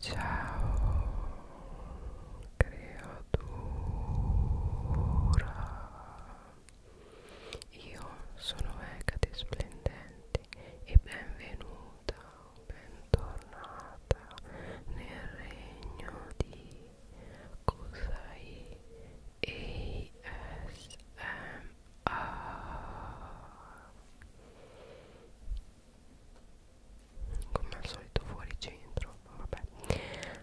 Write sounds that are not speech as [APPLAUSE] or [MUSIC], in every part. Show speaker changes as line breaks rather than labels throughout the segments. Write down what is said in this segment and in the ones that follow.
Ciao creatura Io sono Hecate Splendenti e benvenuta, bentornata nel regno di Kusai ASMR come al solito fuori centro vabbè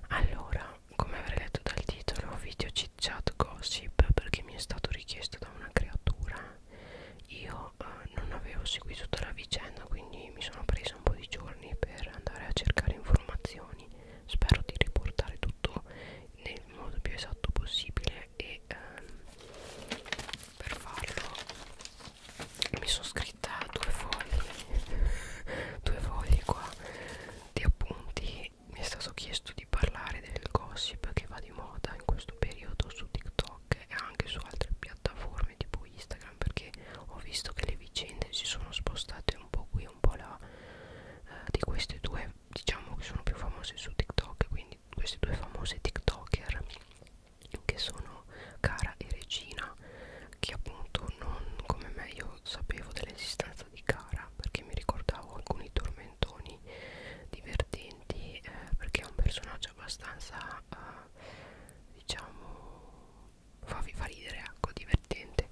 allora come avrei letto dal titolo video chit chat gossip perché mi è stato richiesto da una creatura io eh, non avevo seguito tutta la vicenda quindi mi sono presa un po' di giorni per andare a cercare informazioni spero di riportare tutto nel modo più esatto possibile e ehm, per farlo mi sono scritta due fogli [LAUGHS] due fogli qua di appunti mi è stato chiesto di parlare del gossip che va di moda in questo periodo su TikTok e anche su altre piattaforme tipo Instagram perché ho visto che le vicende si sono spostate un po' qui un po' là eh, di queste due diciamo che sono più famose su TikTok quindi queste due famose TikToker che sono Cara e Regina che appunto non come me io sapevo dell'esistenza di Cara perché mi ricordavo alcuni tormentoni divertenti eh, perché è un personaggio abbastanza eh, diciamo fa, fa ridere ecco divertente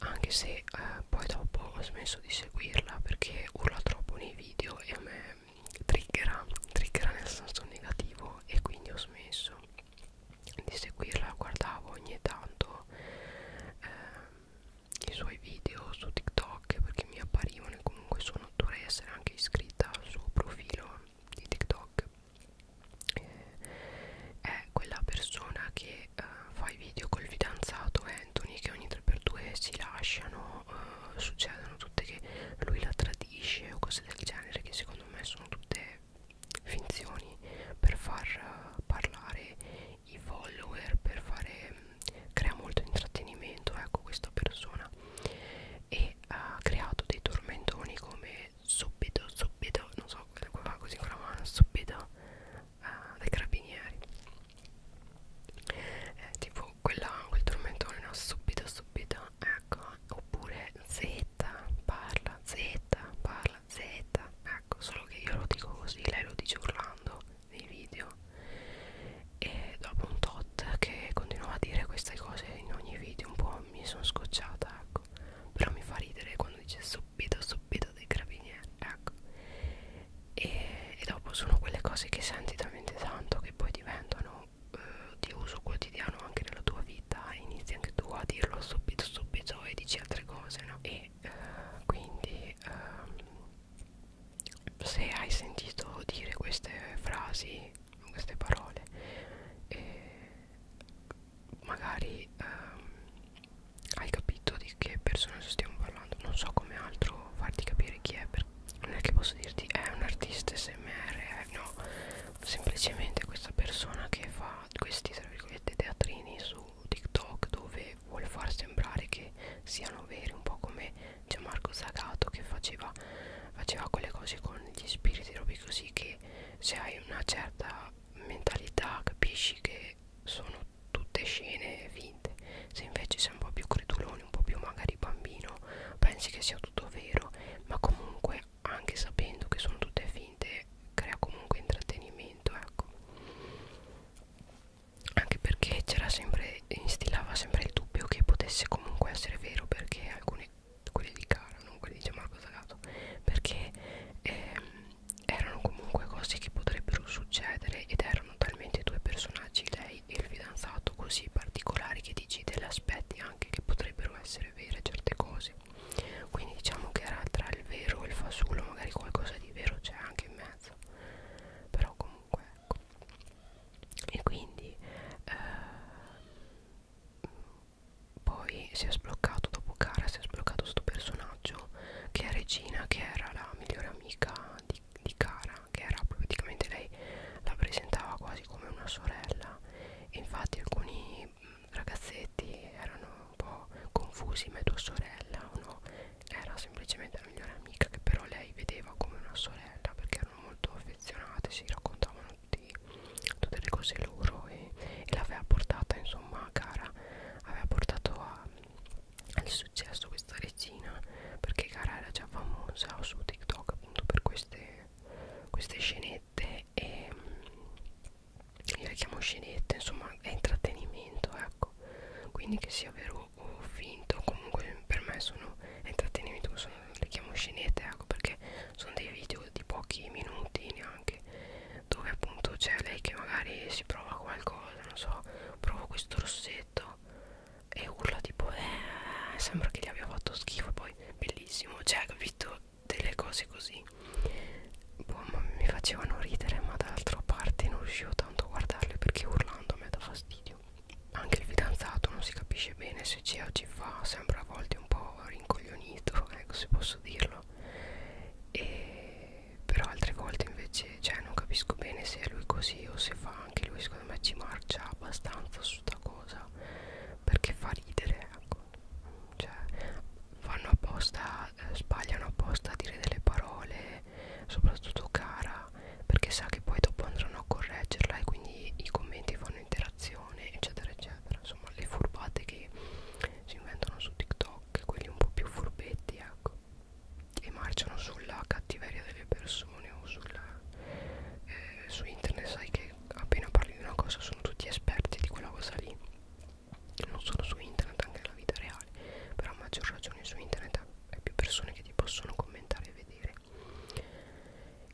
anche se eh, poi dopo ho smesso di seguirla perché urla troppo nei video e a me triggera, triggera nel senso negativo e quindi ho smesso di seguirla, la guardavo ogni tanto eh, i suoi video su TikTok perché mi apparivano e comunque sono dovrei essere anche iscritta al suo profilo di TikTok eh, è quella persona che eh, fa i video col fidanzato Anthony che ogni 3x2 si lasciano eh, succedono tutte che lui la tradisce fetisce o cose del genere che secondo me sono tutte finzioni per far eh, parlare i follower per fare mm, crea molto intrattenimento ecco questa persona e ha creato dei tormentoni come subito subito non so quello così con la mano subito uh, eh, dai carabinieri eh, tipo quella, quel tormentone no? subito subito ecco oppure z parla z parla z ecco solo che io lo dico così lei lo dice urlando nei video e dopo un tot che continuava a dire queste cose in ogni video un po' mi sono scocciata ecco però mi fa ridere quando dice subito subito dei carabinieri ecco e, e dopo sono quelle cose che senti talmente tanto che poi diventano eh, di uso quotidiano anche nella tua vita inizi anche tu a dirlo subito subito e dici altre cose no? e eh, quindi eh, se hai sentito dire queste frasi queste parole eh, magari ehm, hai capito di che persona stiamo parlando non so come altro farti capire chi è per non è che posso dirti è un artista smr eh, no semplicemente questa persona che fa questi tra virgolette teatrini su tiktok dove vuole far sembrare che siano veri un po' come c'è Marco Zagato che faceva faceva quelle cose con gli spiriti robi così che se hai una certa mentalità capisci che sono tutte scene finte se invece sei un po' più credulo testimoni un po' più magari bambino pensi che sia tutto vero ma comunque anche sapendo che sono tutte finte crea comunque intrattenimento ecco anche perché c'era sempre instillava sempre il dubbio che potesse comunque essere vero perché alcune quelli di Cara non quelli di Gianmarco Zagato perché ehm, erano comunque cose che potrebbero succedere ed erano talmente due personaggi lei lei e il fidanzato così particolari che dici degli aspetti anche che potrebbero essere vere certe cose quindi diciamo che era tra il vero e il fasullo magari qualcosa di vero c'è anche in mezzo però comunque ecco e quindi eh, poi si è sbloccato dopo Cara si è sbloccato questo personaggio che è Regina che era la migliore amica di, di Cara suocera che era praticamente lei la presentava quasi come una sorella e infatti alcuni ragazzetti erano un po' confusi ma è tua sorella o no era semplicemente la migliore amica che però lei vedeva come una sorella perché erano molto affezionate si raccontavano tutti, tutte le cose loro e, e l'aveva portata insomma a Cara aveva portato a, al successo questa regina perché Cara era già famosa su TikTok appunto per queste queste scenette e mm, io le chiamo scenette insomma è intrattenimento ecco quindi che sia vero o finto comunque per me sono intrattenimento sono, le chiamo scenette ecco perché sono dei video di pochi minuti neanche dove appunto c'è lei che magari si prova qualcosa non so provo questo rossetto e urla tipo eh, sembra che gli abbia fatto schifo poi bellissimo cioè capito delle cose così boh, ma mi facevano ridere ma dall'altra parte non riuscivo tanto a guardarle perché urlando a me dà fastidio anche il fidanzato non si capisce bene se c'è o ci fa sembra a volte un po' rincoglionito [LAUGHS] ecco se posso dirlo e però altre volte invece cioè non capisco bene se è lui così o se fa anche lui secondo me ci marcia abbastanza su sta cosa rideva perché fa ridere ecco. cioè fanno apposta eh, sbagliano apposta a dire delle parole soprattutto cara perché sa che poi dopo andranno a correggerla e quindi i commenti fanno interazione eccetera eccetera insomma le furbate che si inventano su TikTok quelli un po' più furbetti ecco e marciano sulla cattiveria delle persone persone o sulla, eh, su internet sai che appena parli di una cosa sono tutti esperti di quella cosa lì non solo su internet anche nella vita reale però a maggior ragione su internet hai più persone che ti possono commentare e vedere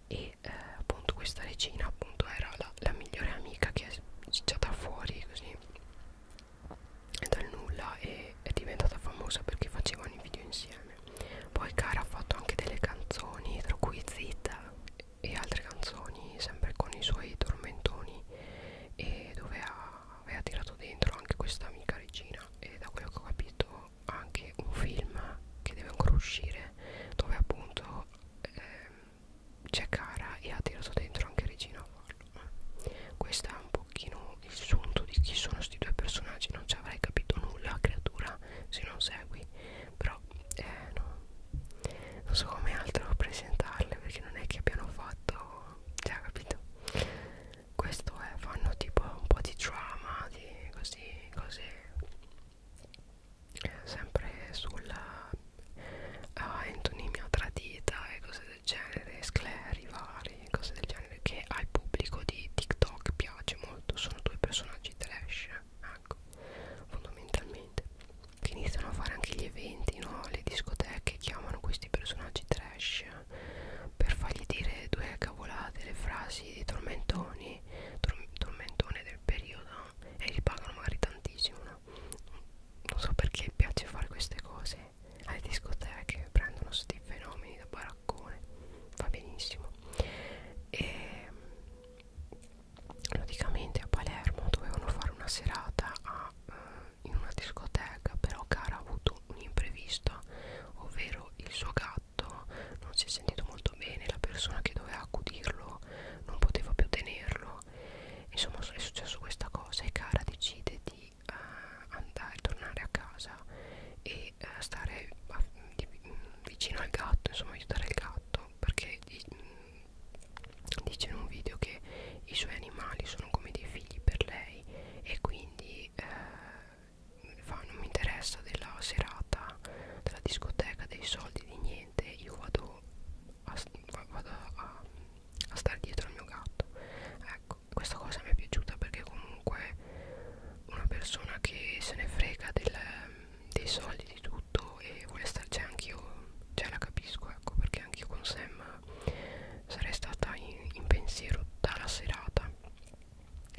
e eh, appunto questa regina appunto era la, la migliore amica che è cicciata fuori così dal nulla e è diventata famosa perché facevano i video insieme insieme poi Cara ha fatto anche delle canzoni tra cui Zita e altre canzoni sempre con i suoi tormentoni e dove ha, aveva tirato dentro anche questa amica regina e da quello che ho capito anche un film che deve ancora uscire dove appunto ehm, c'è Cara e ha tirato dentro anche Regina Farlo questo è un pochino il sunto di chi sono questi due personaggi non ci avrei capito nulla creatura se non segui però eh, no, non so come altro presentarle perché non è che abbiano fatto cioè capito questo è fanno tipo un po' di drama di così cose eh, sempre sulla ah, antonimia tradita e cose del genere scleri vari cose del genere che al pubblico di TikTok piace piace molto sono due personaggi trash ecco fondamentalmente che iniziano a fare anche gli eventi no le discoteche chiamano questi personaggi trash per fargli dire due cavolate le frasi di tormentoni tor tormentone del periodo e li pagano magari tantissimo no? non so perché piace fare queste cose alle discoteche prendono questi fenomeni da baraccone va benissimo e praticamente a Palermo dovevano fare una serata a, eh, in una discoteca però Cara ha avuto un imprevisto ovvero il suo gatto non si è sentito molto bene la persona che doveva accudirlo non poteva più tenerlo insomma è successo questa cosa e Cara decide di uh, andare tornare a casa e di eh, stare a, di, vicino al gatto, insomma aiutare il gatto perché di, mm, dice in un video che i suoi animali sono come dei figli per lei e quindi eh, fa, non mi interessa della serata, della discoteca, dei soldi, di niente, io vado a, vado a, a stare dietro al mio gatto. Ecco, questa cosa mi è piaciuta perché comunque una persona che se ne frega del, dei soldi di tutto e vuole starci anch'io cioè la capisco ecco perché anch'io con Sam sarei stata in, in pensiero tutta la serata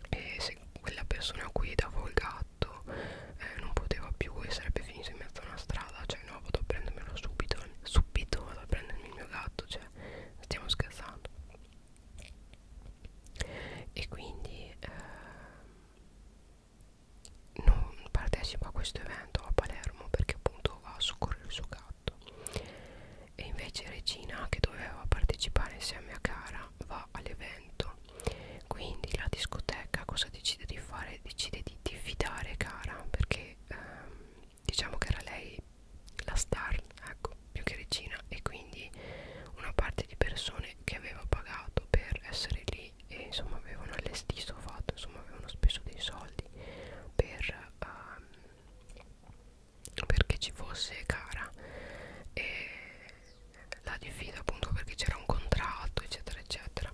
e se quella persona qui dava il gatto eh, non poteva più e sarebbe finito in mezzo a una strada cioè no vado a prendermelo subito subito vado a prendermi il mio gatto cioè stiamo scherzando e quindi eh, non partecipo a questo evento a Palermo perché appunto va a soccorrere il suo gatto e invece Regina che doveva partecipare insieme a Cara va all'evento quindi la discoteca cosa decide di fare? Decide di diffidare Cara perché ehm, diciamo che era lei la star ecco ecco, più che regina e quindi una parte di persone che aveva pagato per essere lì e insomma avevano allestito fatto, insomma avevano speso dei soldi per um, perché ci fosse cara e la diffida appunto perché c'era un contratto eccetera eccetera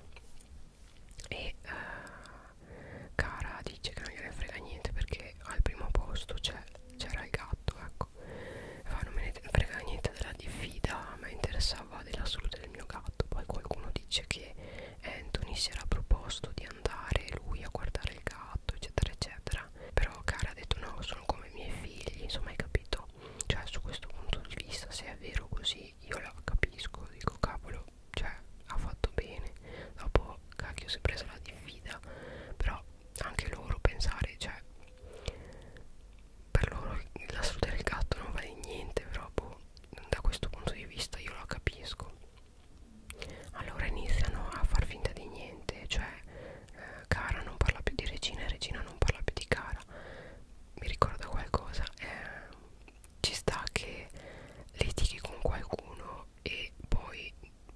e uh, cara dice che non gliene frega niente perché al primo posto c'è c'era il gatto ecco e fa, non me ne frega niente della diffida ma interessava della salute del mio gatto poi qualcuno dice che Anthony si era proposto di andare lui a guardare il gatto eccetera eccetera però cara ha detto no sono come i miei figli insomma hai capito cioè su questo punto di vista se è vero così io la capisco dico cavolo cioè ha fatto bene dopo cacchio si è presa la diffida però anche loro pensare cioè per loro la salute del gatto non vale niente però boh, da questo punto di vista io lo capisco allora iniziano a far finta di niente cioè eh, cara non parla più di regina e regina non parla più di cara mi ricorda qualcosa eh, ci sta che litighi con qualcuno e poi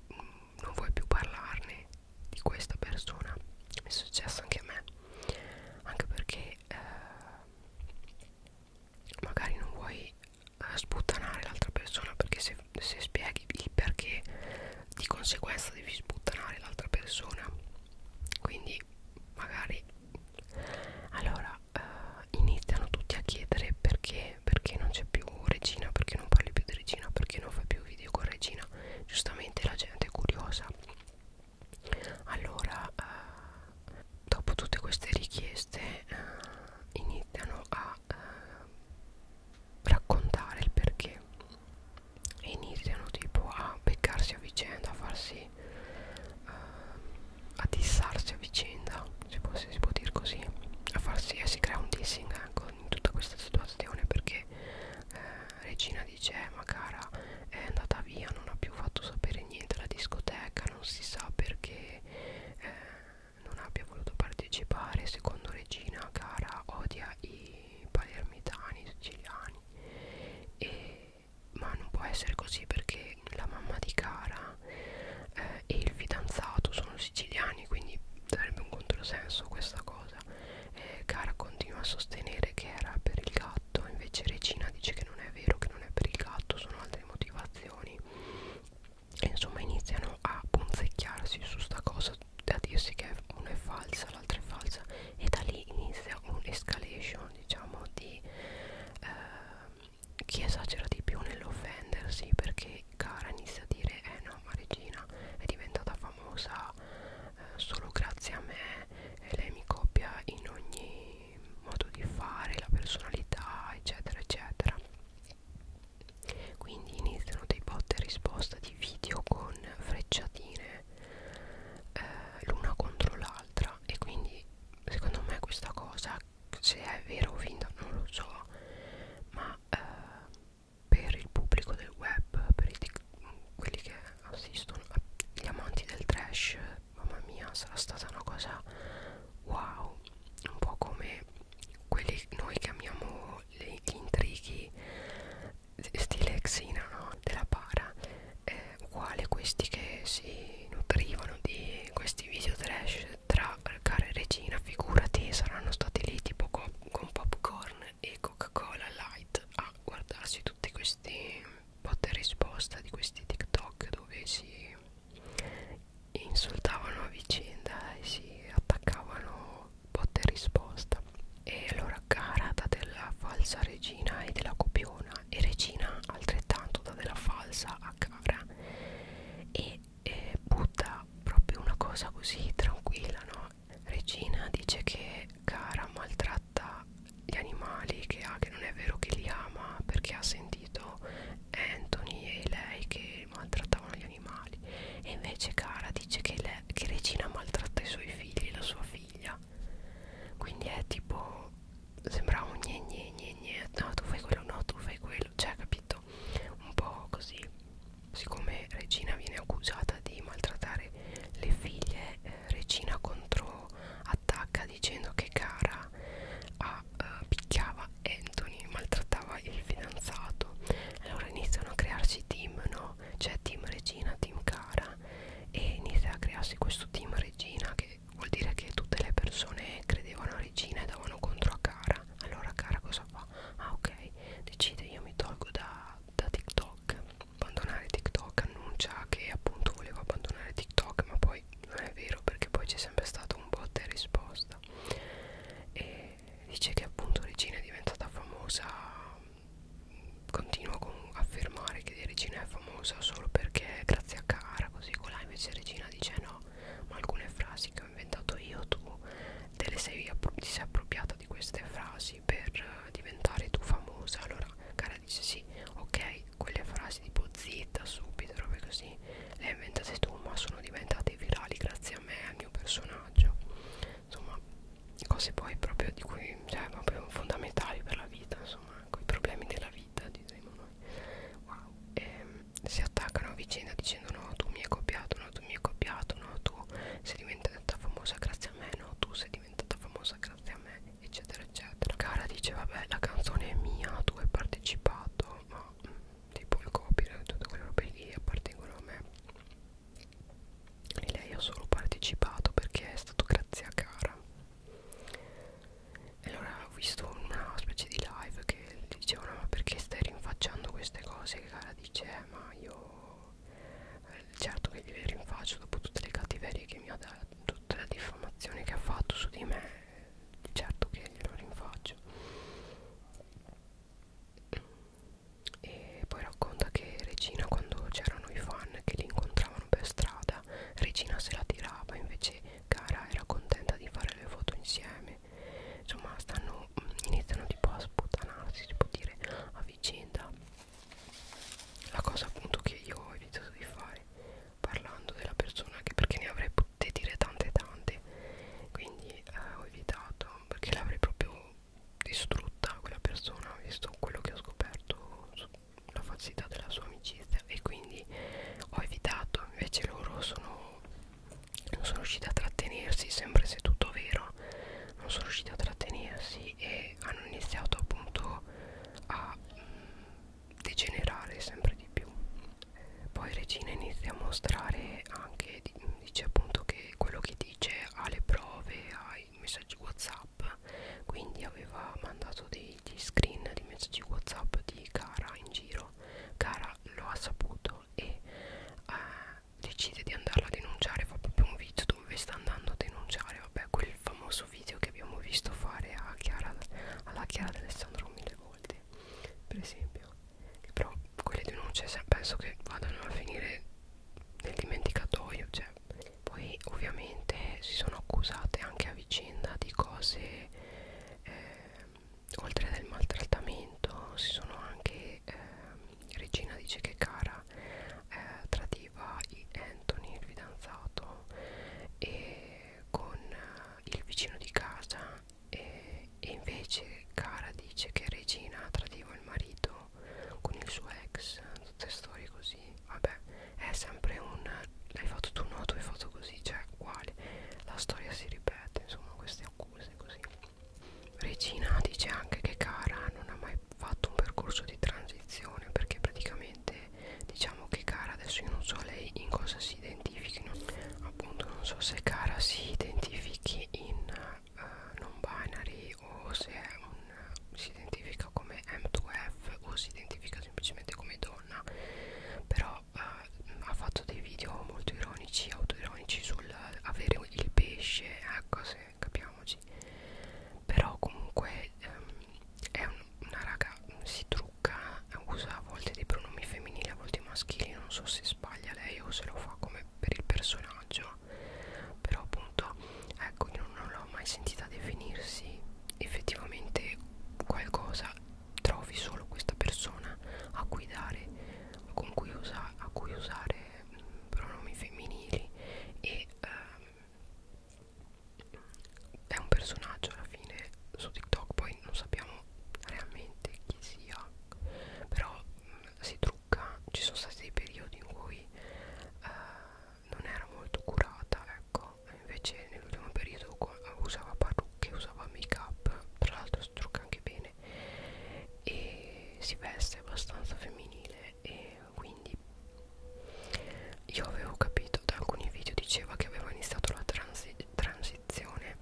mh, mm, non vuoi più parlarne di questa persona è successo anche a me anche perché eh, magari non vuoi eh, sputtanare l'altra persona perché se, se spieghi il perché di conseguenza devi sputtanare l'altra persona quindi magari allora eh, iniziano tutti a chiedere perché perché non c'è più regina perché non parli più di regina perché non fai più video con regina giustamente la gente è curiosa allora eh, dopo tutte queste richieste eh, iniziano a eh, raccontare il perché e iniziano tipo a beccarsi a vicenda a farsi eh, a dissarsi a vicenda se, può, se si può dire così a farsi eh, si crea un dissing ecco in tutta questa situazione perché eh, Regina dice eh, ma cara è andata via non ha più fatto sapere niente alla discoteca non si sa perché eh, non abbia voluto partecipare secondo Regina cara odia i palermitani siciliani e, ma non può essere così perché la mamma di cara eh, e il fidanzato sono siciliani quindi sarebbe un controsenso questa cosa eh, Cara continua a sostenere che era per il gatto Invece Regina dice che non è vero, che non è per il gatto Sono altre motivazioni e insomma iniziano a punzecchiarsi su sta cosa da dirsi che una è falsa, l'altra è falsa e da lì inizia un'escalation diciamo di eh, chi esagera di più nell'offendersi perché cara inizia a dire eh no ma Regina è diventata famosa solo grazie a me e lei mi copia in ogni modo di fare, la personalità, eccetera, eccetera. Quindi iniziano dei bot e risposta di video con frecciatine eh, l'una contro l'altra e quindi secondo me questa cosa se è vero o finta non lo so ma eh, per il pubblico del web, per quelli che assistono, ah, gli amanti del trash, mamma mia, sarà stata una cosa wow, un po' come quelli noi che amiamo le, gli intrighi stile Xena no? della para, eh, uguale questi che si nutrivano di questi video trash tra cara e regina, figurati, saranno stati lì tipo con, con popcorn e Coca-Cola light site a guardarsi tutti questi botte e risposta di questi TikTok dove si insultavano a vicenda e si attaccavano botte e risposta e allora carata della falsa regina e della copiona e regina altrettanto da della falsa a cara e, e butta proprio una cosa così tranquilla no Regina dice che Cara maltratta gli animali che ha, che non è vero che li ama perché ha sentito Anthony e lei che maltrattavano gli animali e invece Cara dice che, le, che Regina maltratta i suoi figli, la sua figlia quindi è tipo sembra un gne gne gne gne no tu fai quello, no tu fai quello cioè capito, un po' così siccome Regina viene accusata di maltrattare le figlie, eh, Regina controattacca dicendo che Cara a, uh, eh, picchiava Anthony, maltrattava il fidanzato. Allora iniziano a crearsi team, no? C'è cioè team Regina, team Cara e inizia a crearsi questo team Regina che vuol dire che tutte le persone credevano a Regina e davano contro a Cara. Allora Cara cosa fa? Ah ok, decide io mi tolgo da da TikTok abbandonare TikTok annuncia che appunto volevo abbandonare TikTok ma poi non è vero perché poi c'è sempre stato un botta e risposta e dice che appunto Regina è diventata famosa continua con affermare che Regina è famosa solo perché grazie a Cara così con la invece Regina dice no ma alcune frasi che ho inventato io tu te le sei, ti sei appropriata di queste frasi fai per diventare tu famosa allora cara dice sì ok quelle frasi tipo zitta subito robe così le hai inventate tu ma sono diventate virali grazie a me al mio personaggio insomma cose poi proprio di cui cioè proprio fondamentali per la vita insomma i problemi della vita diremo noi wow ehm, si attaccano a vicenda dicendo no tu mi hai copiato no tu mi hai copiato no tu sei diventata famosa grazie grazie a me no tu sei diventata famosa grazie a me eccetera eccetera cara dice vabbè la canzone è mia tu hai partecipato ma mh, mm, tipo il copyright tutte quelle robe lì appartengono a me e lei ha solo partecipato perché è stato grazie a cara e allora ho visto una specie di live che dicevano ma perché stai rinfacciando queste cose che cara dice eh, ma io eh, certo che gli rinfaccio dopo tutte le cattiverie che mi ha dato tutte le diffamazioni che ha fatto su di me certo che glielo rinfaccio e poi racconta che Regina quando c'erano i fan che li incontravano per strada Regina se la tirava invece Cara era contenta di fare le foto insieme insomma stanno iniziano tipo a sputanarsi si può dire a vicenda la cosa appunto che io ho evitato di fare parlando della persona anche perché ne avrei potute dire tante tante quindi eh, ho evitato perché l'avrei proprio distrutta quella persona visto quello che ho scoperto la falsità della sua amicizia e quindi ho evitato invece loro sono non sono riusciti a trattenersi sempre se tutto vero non sono riusciti a trattenersi e hanno iniziato appunto a mh, mm, degenerare sempre di più eh, poi Regina inizia a mostrare anche dice appunto che quello che dice ha le prove ai messaggi whatsapp quindi aveva mandato degli screen di messaggi whatsapp di Cara in giro Cara lo ha saputo e eh, decide di andarla a denunciare fa proprio un video dove sta andando a denunciare vabbè quel famoso video che abbiamo visto fare a Chiara, alla Chiara d'Alessandro mille volte per esempio che però quelle denunce penso che vadano a finire nel dimenticatoio cioè. poi ovviamente si sono accusate anche a vicenda di cose eh, oltre del maltrattamento si sono anche eh, Regina dice che Cara eh, tradiva Anthony, il fidanzato, e con eh, il vicino di casa e, e invece Cara dice che Regina tradiva il marito con il suo ex, tutte storie così, vabbè, è sempre un l'hai fatto tu no, tu hai fatto così, cioè uguale, la storia si ripete, insomma queste accuse così Regina dice anche che Cara non ha mai fatto un percorso di transizione perché praticamente diciamo che Cara adesso io non so lei in cosa si identifichi no? appunto non so se Cara si identifichi in uh, eh, non binary o se è un, uh, si identifica come M2F o si identifica semplicemente come donna però uh, ha fatto dei video molto ironici autoironici sul avere il pesce ecco se eh, capiamoci però comunque ehm, è un, una raga si trucca usa a volte dei pronomi femminili a volte maschili non so se sbaglia lei o se lo fa come per il personaggio però appunto ecco io non l'ho mai sentita definirsi effettivamente qualcosa trovi solo questa persona a cui dare con cui, usa, a cui usare pronomi femminili e um, è un personaggio alla fine su TikTok, poi non sappiamo realmente chi sia, però um, si trucca, ci sono stati dei periodi in cui uh, non era molto curata, ecco, invece nell'ultimo periodo usava parrucche, usava make up, tra l'altro si trucca anche bene e si veste abbastanza femminile e quindi io avevo capito da alcuni video diceva che aveva iniziato la transi transizione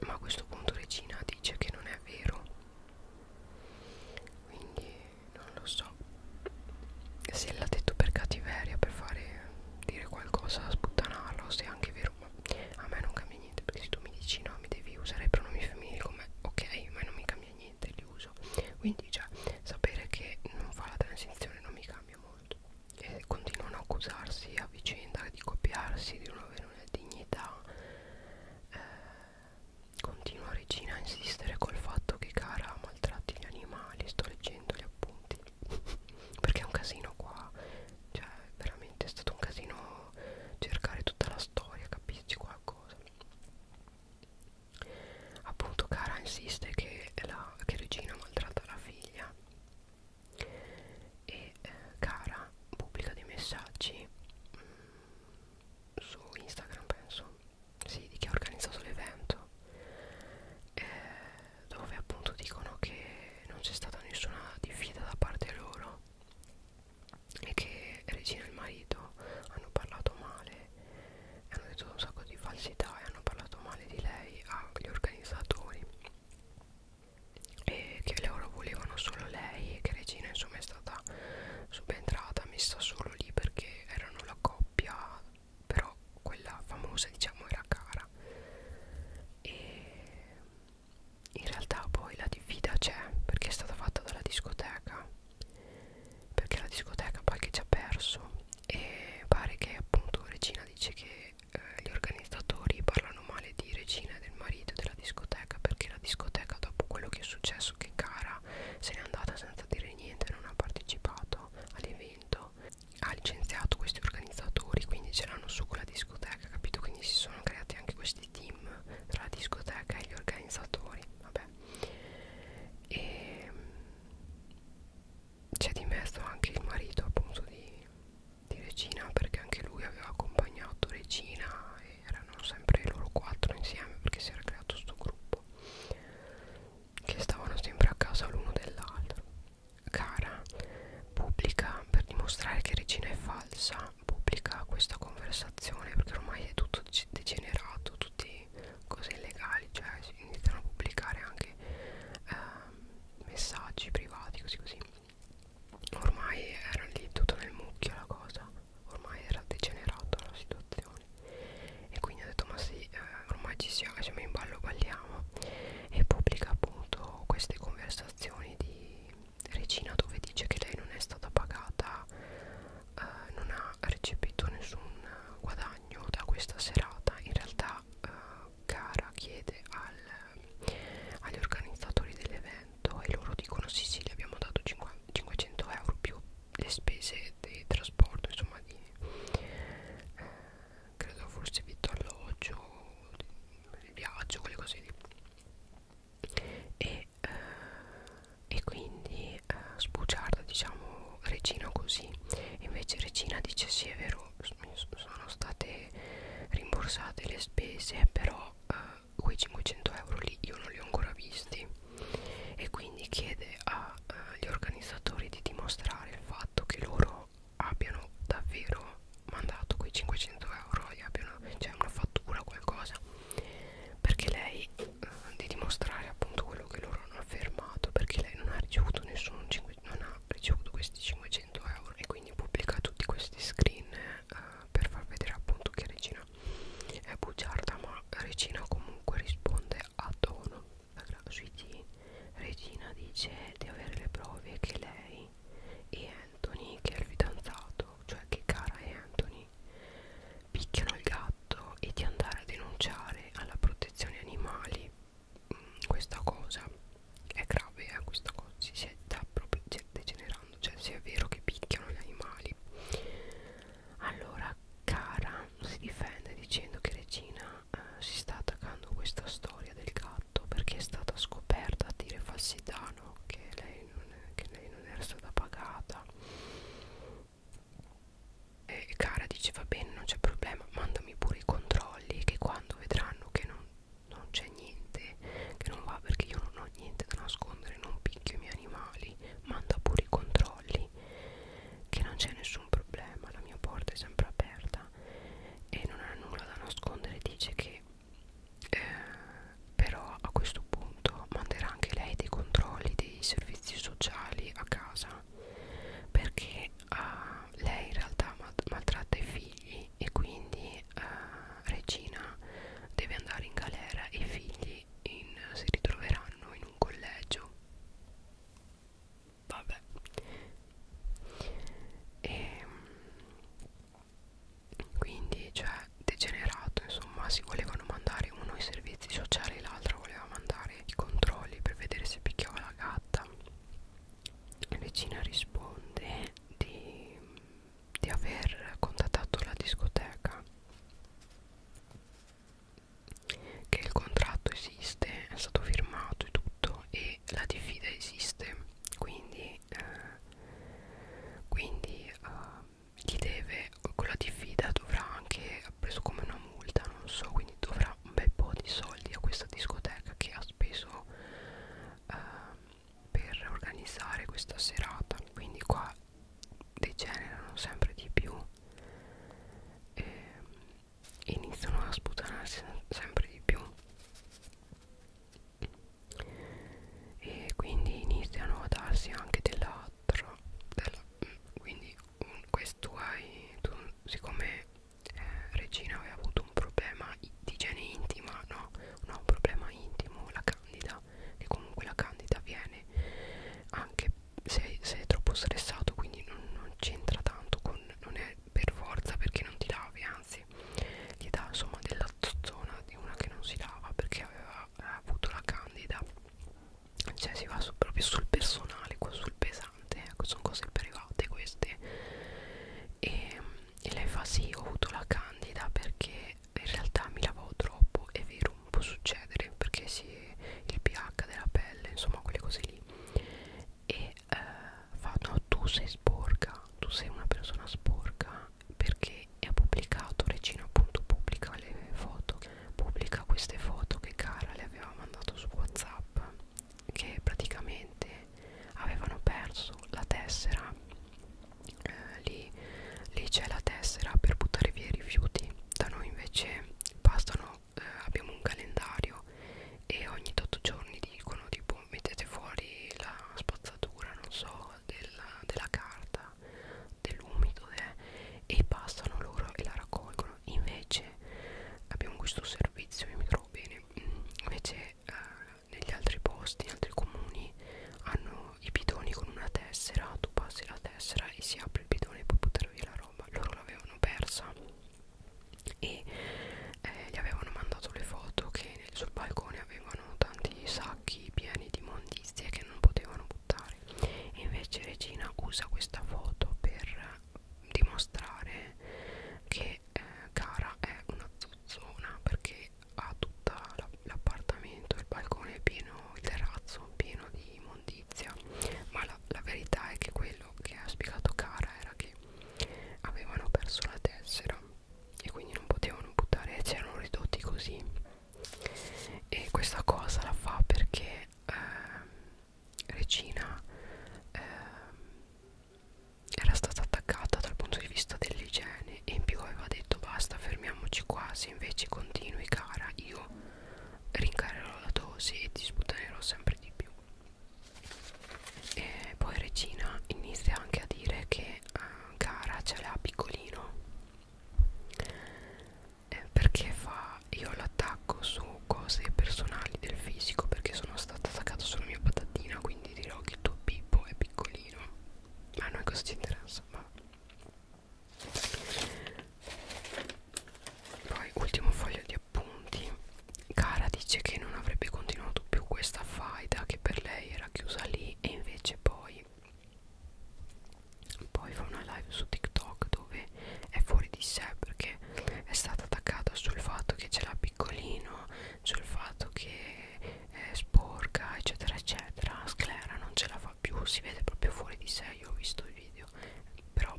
ma a questo punto Regina dice che non è vero quindi non lo so se l'ha detto per cattiveria per fare dire qualcosa sputtanarlo se è anche vero ma a me non cambia niente perché se tu mi dici no mi devi usare i pronomi femminili come ok ma non mi cambia e niente li uso quindi già sapere che non fa la transizione non mi cambia molto e continuano a accusarsi a vicenda di copiarsi di non avere una dignità eh, continua regina a insistere col fatto che cara maltratti gli animali sto leggendo gli appunti [LAUGHS] perché è un casino qua cioè veramente è stato un casino cercare tutta la storia capirci qualcosa Appunto Cara insiste che, la, che Regina maltratta la figlia e eh, Cara pubblica dei messaggi mh, mm, su Instagram penso, sì, di chi ha organizzato l'evento eh, dove appunto dicono che non c'è stata nessuna diffida da parte loro è che Regina e il marito hanno parlato male hanno detto un sacco di falsità e hanno parlato male di lei agli organizzatori e che loro volevano solo lei e che Regina insomma è stata subentrata messa solo lì perché erano la coppia però quella famosa diciamo era cara e in realtà poi la diffida c'è perché è stata fatta dalla discoteca perché la discoteca poi che ci ha perso e pare che appunto Regina dice che eh, gli organizzatori parlano male di Regina e del marito della discoteca perché la discoteca dopo quello che è successo che Cara se n'è andata senza dire niente non ha partecipato all'evento ha licenziato questi organizzatori quindi ce l'hanno su con la discoteca capito quindi si sono creati anche questi team tra la discoteca e gli organizzatori vabbè e c'è dimesso anche il marito appunto di, di Regina perché anche lui aveva accompagnato Regina e erano sempre loro quattro insieme perché si era creato questo gruppo che stavano sempre a casa l'uno dell'altro Cara pubblica per dimostrare che Regina è falsa pubblica questa conversazione perché ormai è tutto degenerato, tutte cose illegali, cioè si iniziano a pubblicare anche eh, messaggi privati, così così. Ormai era lì tutto nel mucchio la cosa, ormai era degenerata la situazione. E quindi ho detto ma sì, eh, ormai ci siamo, siamo in ballo, balliamo. E pubblica appunto queste conversazioni di Regina dove dice che lei non è stata pagata, eh, non ha recepito nessun guadagno da questa serata. In realtà eh, Cara eh, chiede al, agli organizzatori dell'evento e loro dicono sì sì le abbiamo dato 500 euro più le spese di trasporto, insomma di... Eh, credo forse vitto alloggio, viaggio, quelle cose lì e, eh, e quindi eh, sbugiarda diciamo Regina così invece Regina dice sì è vero sono state rimborsate le spese però eh, quei 500 euro lì io non li ho ancora visti e quindi chiede agli eh, organizzatori di dimostrare il fatto che loro abbiano davvero mandato quei 500 euro gli abbiano cioè una fattura qualcosa perché lei eh, di dimostrare appunto quello che loro hanno affermato perché lei non ha ricevuto nessun 5, non ha ricevuto questi 500 euro e quindi pubblica tutti questi screen eh, per far vedere appunto che Regina è bugiarda ma Regina comunque risponde a tono sui T Regina dice di avere le prove che lei e Anthony che è il fidanzato cioè che Cara e Anthony picchiano il gatto e di andare a denunciare alla protezione animali mh, mm, questa cosa è grave eh, questa cosa si sta proprio degenerando cioè se è vero che picchiano gli animali allora Cara si difende dicendo che Regina eh, si sta attaccando a questa storia del gatto perché è stata scoperta a dire falsità no? che, lei non è, che lei non era stata pagata e Cara dice va bene non c'è problema mandami pure i controlli che quando vedranno che non, non c'è niente che non va perché io non ho niente da nascondere non picchio i miei animali manda pure i controlli che non c'è nessun problema la mia porta è sempre aperta e non ha nulla da nascondere dice che eh, però a questo punto manderà anche lei dei controlli dei servizi sociali a casa perché uh, lei in realtà maltratta i figli e quindi uh, Regina deve andare in galera e i figli in, si ritroveranno in un collegio vabbè e, ehm, quindi cioè degenerato insomma si volevano mandare uno i servizi sociali e l'altro voleva mandare i controlli per vedere se picchiava la gatta la vicina risponde di, di aver contattato la discoteca che il contratto esiste è stato firmato e tutto e la diffida esiste quindi eh, quindi eh, gli deve quella diffida dovrà anche ha preso come una multa non so quindi dovrà un bel po' di soldi a questa discoteca che ha speso eh, per organizzare questa serata quindi qua degenerano sempre di più ehm, e iniziano a sputanarsi sempre di più e quindi iniziano a darsi anche della 4 della, mm, quindi un, questo hai tu, siccome eh, Regina aveva avuto un problema di igiene intima no, no un problema intimo la candida che comunque la candida viene anche se, se è troppo stressato quindi non, non c'entra tanto con non è per forza perché non ti lavi anzi gli dà insomma della zona di una che non si lava perché aveva ha, ha avuto la candida cioè si va su, proprio sul personale sul pesante ecco sono cose private queste e, ehm, e lei fa sì ho avuto la candida perché in realtà mi lavavo troppo è vero può succedere perché si, il pH della pelle insomma quelle cose lì e eh, fa no tu sei sporca tu sei una persona sporca perché ha pubblicato Regina appunto pubblica le foto pubblica queste foto che Cara le aveva mandato su Whatsapp che praticamente avevano perso la tessera eh, lì, lì c'è la tessera per buttare via i rifiuti da noi invece bastano eh, abbiamo un calendario e ogni 8 giorni dicono tipo mettete fuori la spazzatura non so della, della carta dell'umido eh, e passano loro e la raccolgono invece abbiamo questo servizio io mi trovo bene mm, invece eh, negli altri posti in altri comuni hanno i bidoni con una tessera tu passi la tessera e si apre il bidone e puoi buttare via la roba loro l'avevano persa e eh, gli avevano mandato le foto che sul balcone avevano tanti sacchi pieni di mondizie che non potevano buttare adottare e invece Regina usa questa foto per dimostrare che eh, Cara è una zozzona perché ha tutto l'appartamento, il balcone pieno, il terrazzo pieno di immondizia ma la, la verità è che quello che ha spiegato Cara era che avevano perso la tessera e quindi non potevano buttare e c'erano ridotti così e questa cosa la fa perché eh, Regina eh, era stata attaccata dal punto di vista dell'igiene e in più aveva detto basta fermiamoci quasi invece continui cara io rincarerò la dose e ti sputtanerò sempre di più e poi Regina inizia anche a dire che eh, cara ce l'ha piccolino eh, perché fa io l'attacco su cose personali del fisico perché sono stata attaccata sulla mia patatina quindi dirò che il tuo pippo è piccolino ma a noi cosa ci interessa ma poi ultimo foglio di appunti Cara dice che non avrebbe continuato più questa faida che per lei era chiusa lì e invece poi poi fa una live su TikTok dove è fuori di sé perché è stata attaccata sul fatto che ce l'ha piccolino, sul fatto che è sporca, eccetera, eccetera. Sclera non ce la fa più, si vede proprio fuori di sé. Io ho visto il video, però,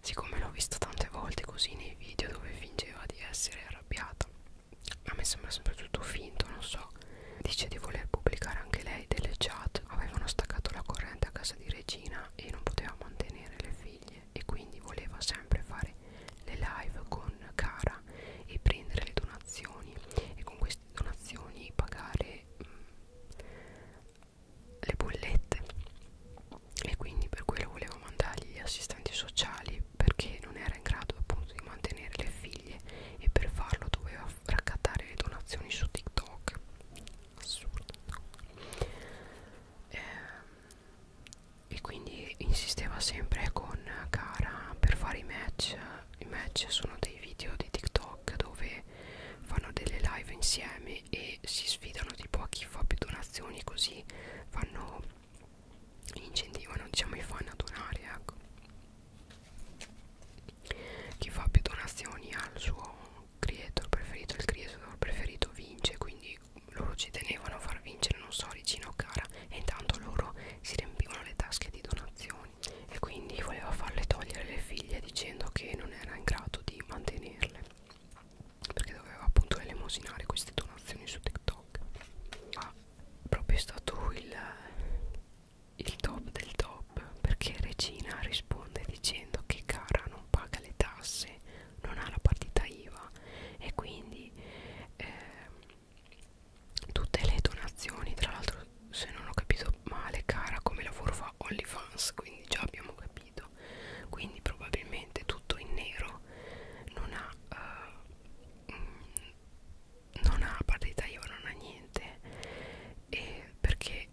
siccome l'ho visto tante volte così nei video dove fingeva di essere arrabbiata, a me sembra sempre tutto finto, non so Dice di voler pubblicare anche lei delle chat. Avevano staccato la corrente a casa di Regina e non poteva mantenere le figlie e quindi voleva sempre fare le live con Cara e prendere le donazioni e con queste donazioni pagare mh, mm, le bollette e quindi per quello voleva mandargli gli assistenti sociali perché non era in grado appunto di mantenere le figlie e per farlo doveva raccattare le donazioni su TikTok assurdo eh, e quindi insisteva sempre con Cara per fare i match i match sono dei video di TikTok dove fanno delle live insieme e si sfidano tipo a chi fa più donazioni così fanno incentivano diciamo i fan a donare ecco chi fa più donazioni al suo creator preferito, il creator preferito vince, quindi loro ci tenevano a far vincere, non so, Ricino Cara e intanto loro si riempivano le tasche di donazioni e quindi voleva farle togliere le figlie dicendo che non era in grado di mantenerle perché doveva appunto elemosinare queste donazioni su TikTok. Ah, proprio è stato il il top del top perché Regina risponde dicendo che Cara non paga le tasse, non ha la partita IVA e quindi eh, tutte le donazioni, tra l'altro se non ho capito male Cara come lavoro fa OnlyFans, quindi già abbiamo capito, quindi probabilmente tutto in nero non ha... Eh, non ha partita IVA, non ha niente e perché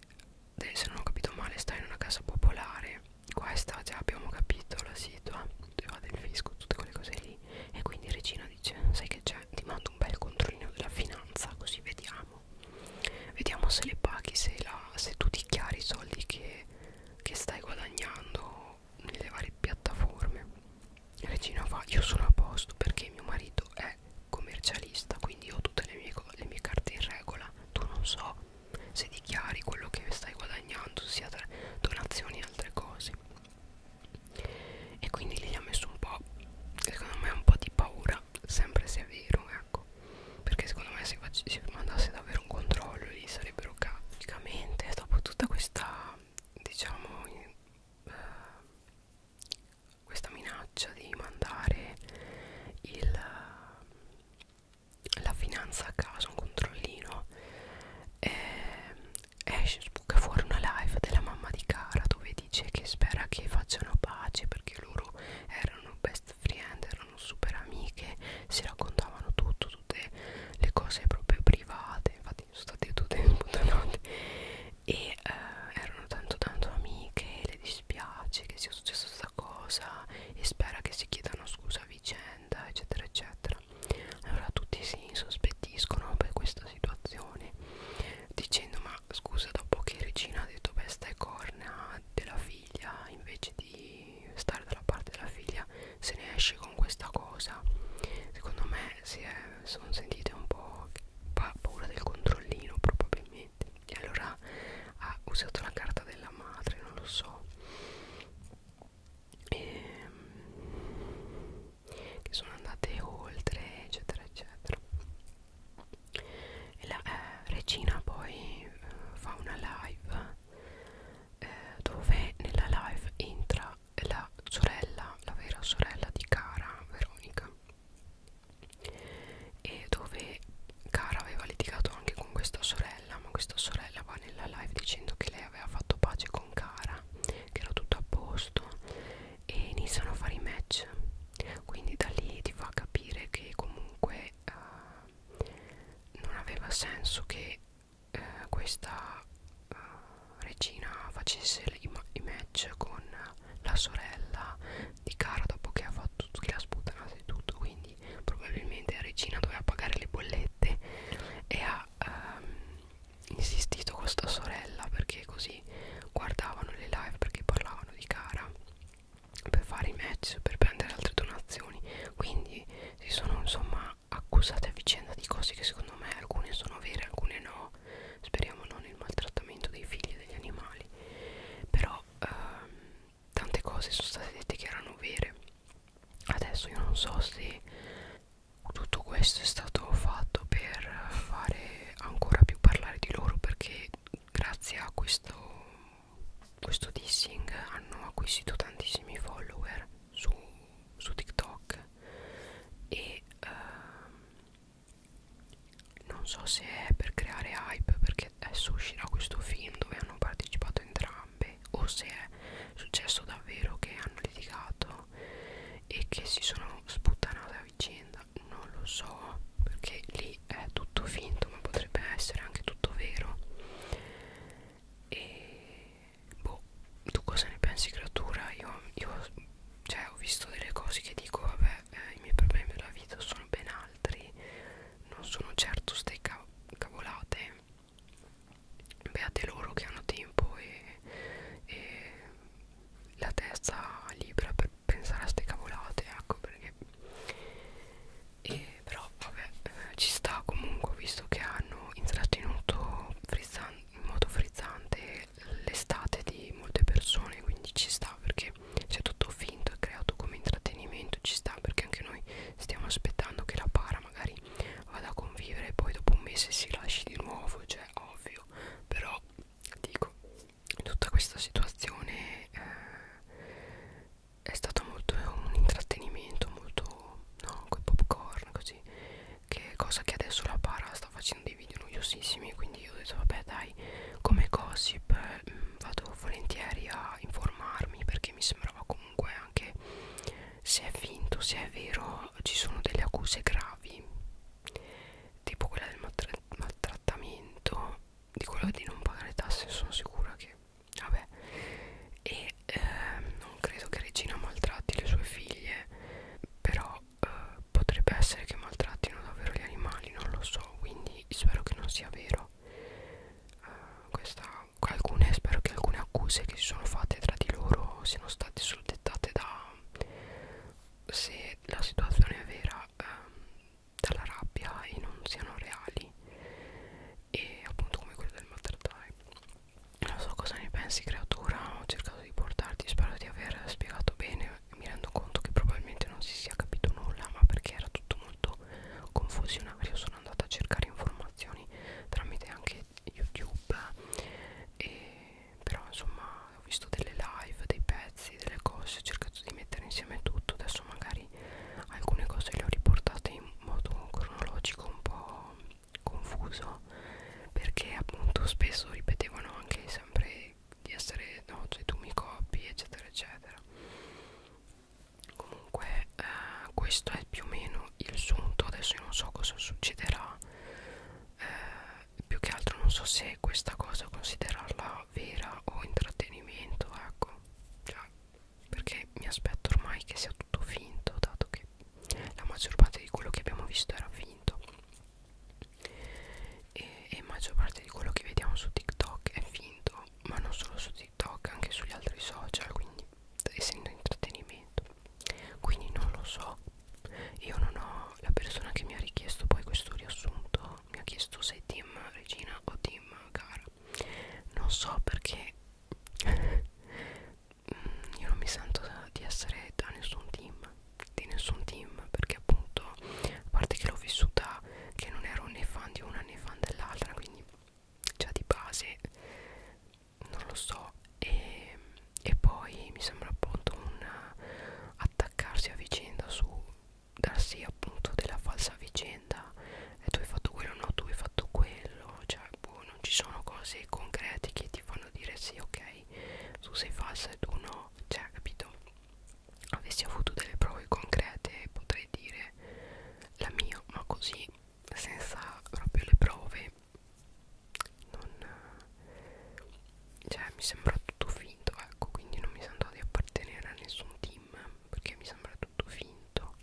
eh, se non ho capito male sta in una casa popolare qua sta già abbiamo capito la situa del fisco tutte quelle cose lì e quindi Regina dice sai che c'è ti mando un bel controllino della finanza così vediamo vediamo se le paghi se, la, se tu dichiari i soldi che, che stai guadagnando nelle varie piattaforme Regina fa io sono a posto perché mio marito è commercialista quindi ho tutte le mie, le mie carte in regola tu non so se dichiari quello che stai guadagnando sia tra donazioni e altre cose e quindi lei ha messo un po' secondo me un po' di paura sempre se è vero ecco perché secondo me se si mandasse davvero un controllo lì sarebbero praticamente dopo tutta questa diciamo eh, questa minaccia di mandare il, la finanza a casa, un controllino eh, esce, spucca fuori una live della mamma di Cara dove dice che spera che facciano pace perché loro erano best friend, erano super amiche, si raccontavano tutto, tutte le cose proprio private, infatti sono state tutte sputanate e eh, erano tanto tanto amiche le dispiace che sia successa questa cosa e spera che si chiedano scusa a vicenda eccetera eccetera allora tutti si insospettiscono per questa situazione dicendo ma scusa dopo che Regina ha detto besta e corna della figlia invece di stare dalla parte della figlia se ne esce con questa cosa secondo me si sono sentite un po' pa paura del controllino probabilmente e allora ha usato la carta della madre non lo so e, ehm, che sono andate oltre eccetera eccetera e la eh, regina poi eh, fa una live eh, dove nella live entra la sorella la vera sorella di Cara Veronica e dove Cara aveva litigato anche con questa sorella ma questa sorella va nella live dicendo che lei aveva fatto pace con Cara che era tutto a posto e iniziano a fare i match quindi da lì ti fa capire che comunque uh, non aveva senso che uh, questa uh, regina facesse i, i match con la sorella di Cara dopo che ha fatto che la sputanata e tutto quindi probabilmente la regina doveva pagare le bollette e ha ehm, insistito con sta sorella perché così guardavano le live perché parlavano di Cara per fare i match per prendere altre donazioni quindi si sono insomma accusate a vicenda di cose che secondo me alcune sono vere alcune no speriamo non il maltrattamento dei figli e degli animali però ehm, tante cose sono state dette che erano vere adesso io non so se tutto questo è stato fatto per fare ancora più parlare di loro perché grazie a questo questo dissing hanno acquisito tantissimi follower su, su TikTok e ehm, non so se è per creare hype perché adesso uscirà questo film dove hanno partecipato entrambe o se è successo davvero che hanno litigato e che si sono sputtanate a vicenda non lo so perché lì è tutto finto ma potrebbe essere anche tutto vero e boh tu cosa ne pensi creatura io, io cioè ho visto delle cose che dico vabbè eh, i miei problemi della vita sono ben altri non sono certo ste cav cavolate beate loro che hanno tempo e, e la testa libera per pensare a ste cavolate ecco perché e, però vabbè eh, ci sta comunque visto che hanno intrattenuto in modo frizzante è l'estate di molte persone quindi ci sta perché c'è tutto finto è creato come intrattenimento ci sta perché anche noi stiamo aspettando che la para magari vada a convivere e poi dopo un mese si lasci di nuovo cioè ovvio però dico tutta questa situazione eh, è stato molto un intrattenimento molto no, con popcorn così che cosa che adesso la para sta facendo dei video noiosissimi quindi io ho detto vabbè dai come gossip mh, mm, vado volentieri a informarmi perché mi sembrava comunque anche se è finto se è vero ci sono delle accuse gravi tipo quella del maltra maltrattamento di quello di non pagare tasse sono sicura che vabbè e eh, non credo che Regina maltratti le sue figlie però eh, potrebbe essere che maltrattino davvero gli animali, non lo so, quindi spero che non sia vero. Eh, questa, alcune, spero che alcune accuse che si sono fatte tra di loro siano state soldettate da se la situazione è vera ehm, dalla rabbia e non siano reali e appunto come quello del maltrattare non so cosa ne pensi creatura ho cercato di portarti spero di aver spiegato bene mi rendo conto che probabilmente non si sia capito nulla ma perché era tutto molto confusionario sono andata a cercare informazioni tramite anche youtube e però insomma ho visto delle live dei pezzi delle cose ho cercato di mettere insieme tutto adesso magari alcune cose le ho riportate in modo cronologico un po' confuso perché appunto spesso ripetevano anche sempre di essere no cioè tu mi copi eccetera eccetera comunque eh, questo è più o meno il sunto adesso io non so cosa succederà eh, più che altro non so se questa cosa considerarla vera o intrattenimento ecco cioè, perché mi aspetto ormai che sia tutto finto dato che la maggior parte di quello che abbiamo visto era finto e, e maggior parte di quello che vediamo su TikTok è finto ma non solo su TikTok anche sugli altri social quindi essendo intrattenimento quindi non lo so io non ho la persona che mi ha richiesto poi questo riassunto mi ha chiesto se team regina o team gara non so perché [LAUGHS] mm, io non mi sento di essere da nessun team di nessun team perché appunto a parte che l'ho vissuta che non ero né fan di una né fan dell'altra quindi già di base non lo so e, e poi mi sembra appunto un attaccarsi a vicenda su darsi appunto della falsa vicenda e tu hai fatto quello no tu hai fatto quello cioè boh, non ci sono cose concrete che ti fanno dire sì ok tu sei falsa e tu no cioè capito avessi avuto delle prove concrete potrei dire la mia ma così senza proprio le prove non cioè mi sembra tutto finto ecco quindi non mi sento di appartenere a nessun team perché mi sembra tutto finto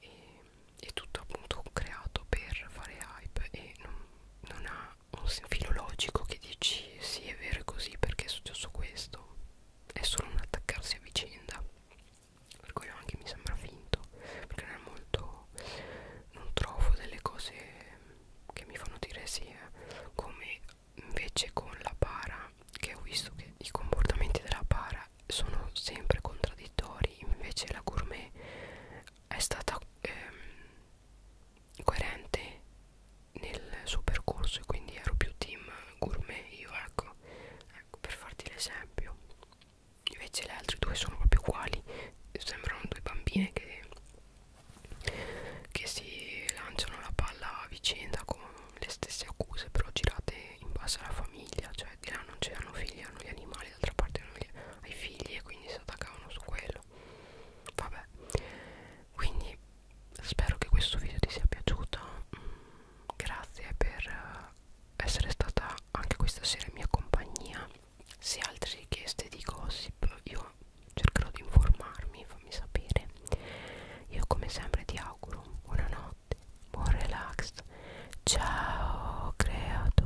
e è tutto appunto creato per fare hype e non, non ha un filo logico che dici sì è vero è così perché è successo questo è solo un attaccarsi a vicenda per quello anche mi sembra finto perché non è molto non trovo delle cose che mi fanno dire sì eh. come invece con la para che ho visto che i comportamenti della para sono sempre contraddittori invece la gourmet è stata ehm, coerente nel suo percorso e quindi ero più team gourmet io ecco, ecco per farti l'esempio invece le altre due sono proprio uguali sembrano due bambine che, che si lanciano la palla a vicenda con le stesse accuse però girate in base alla famiglia cioè di là non c'erano figli hanno gli animali d'altra parte hanno gli, ai figli e quindi si attaccavano su quello quello vabbè quindi spero che questo video ti sia piaciuto mm, grazie per eh, essere stata anche questa sera in mia compagnia se altre richieste di gossip io cercherò di informarmi fammi sapere io come sempre ti auguro buonanotte buon relax ciao creatura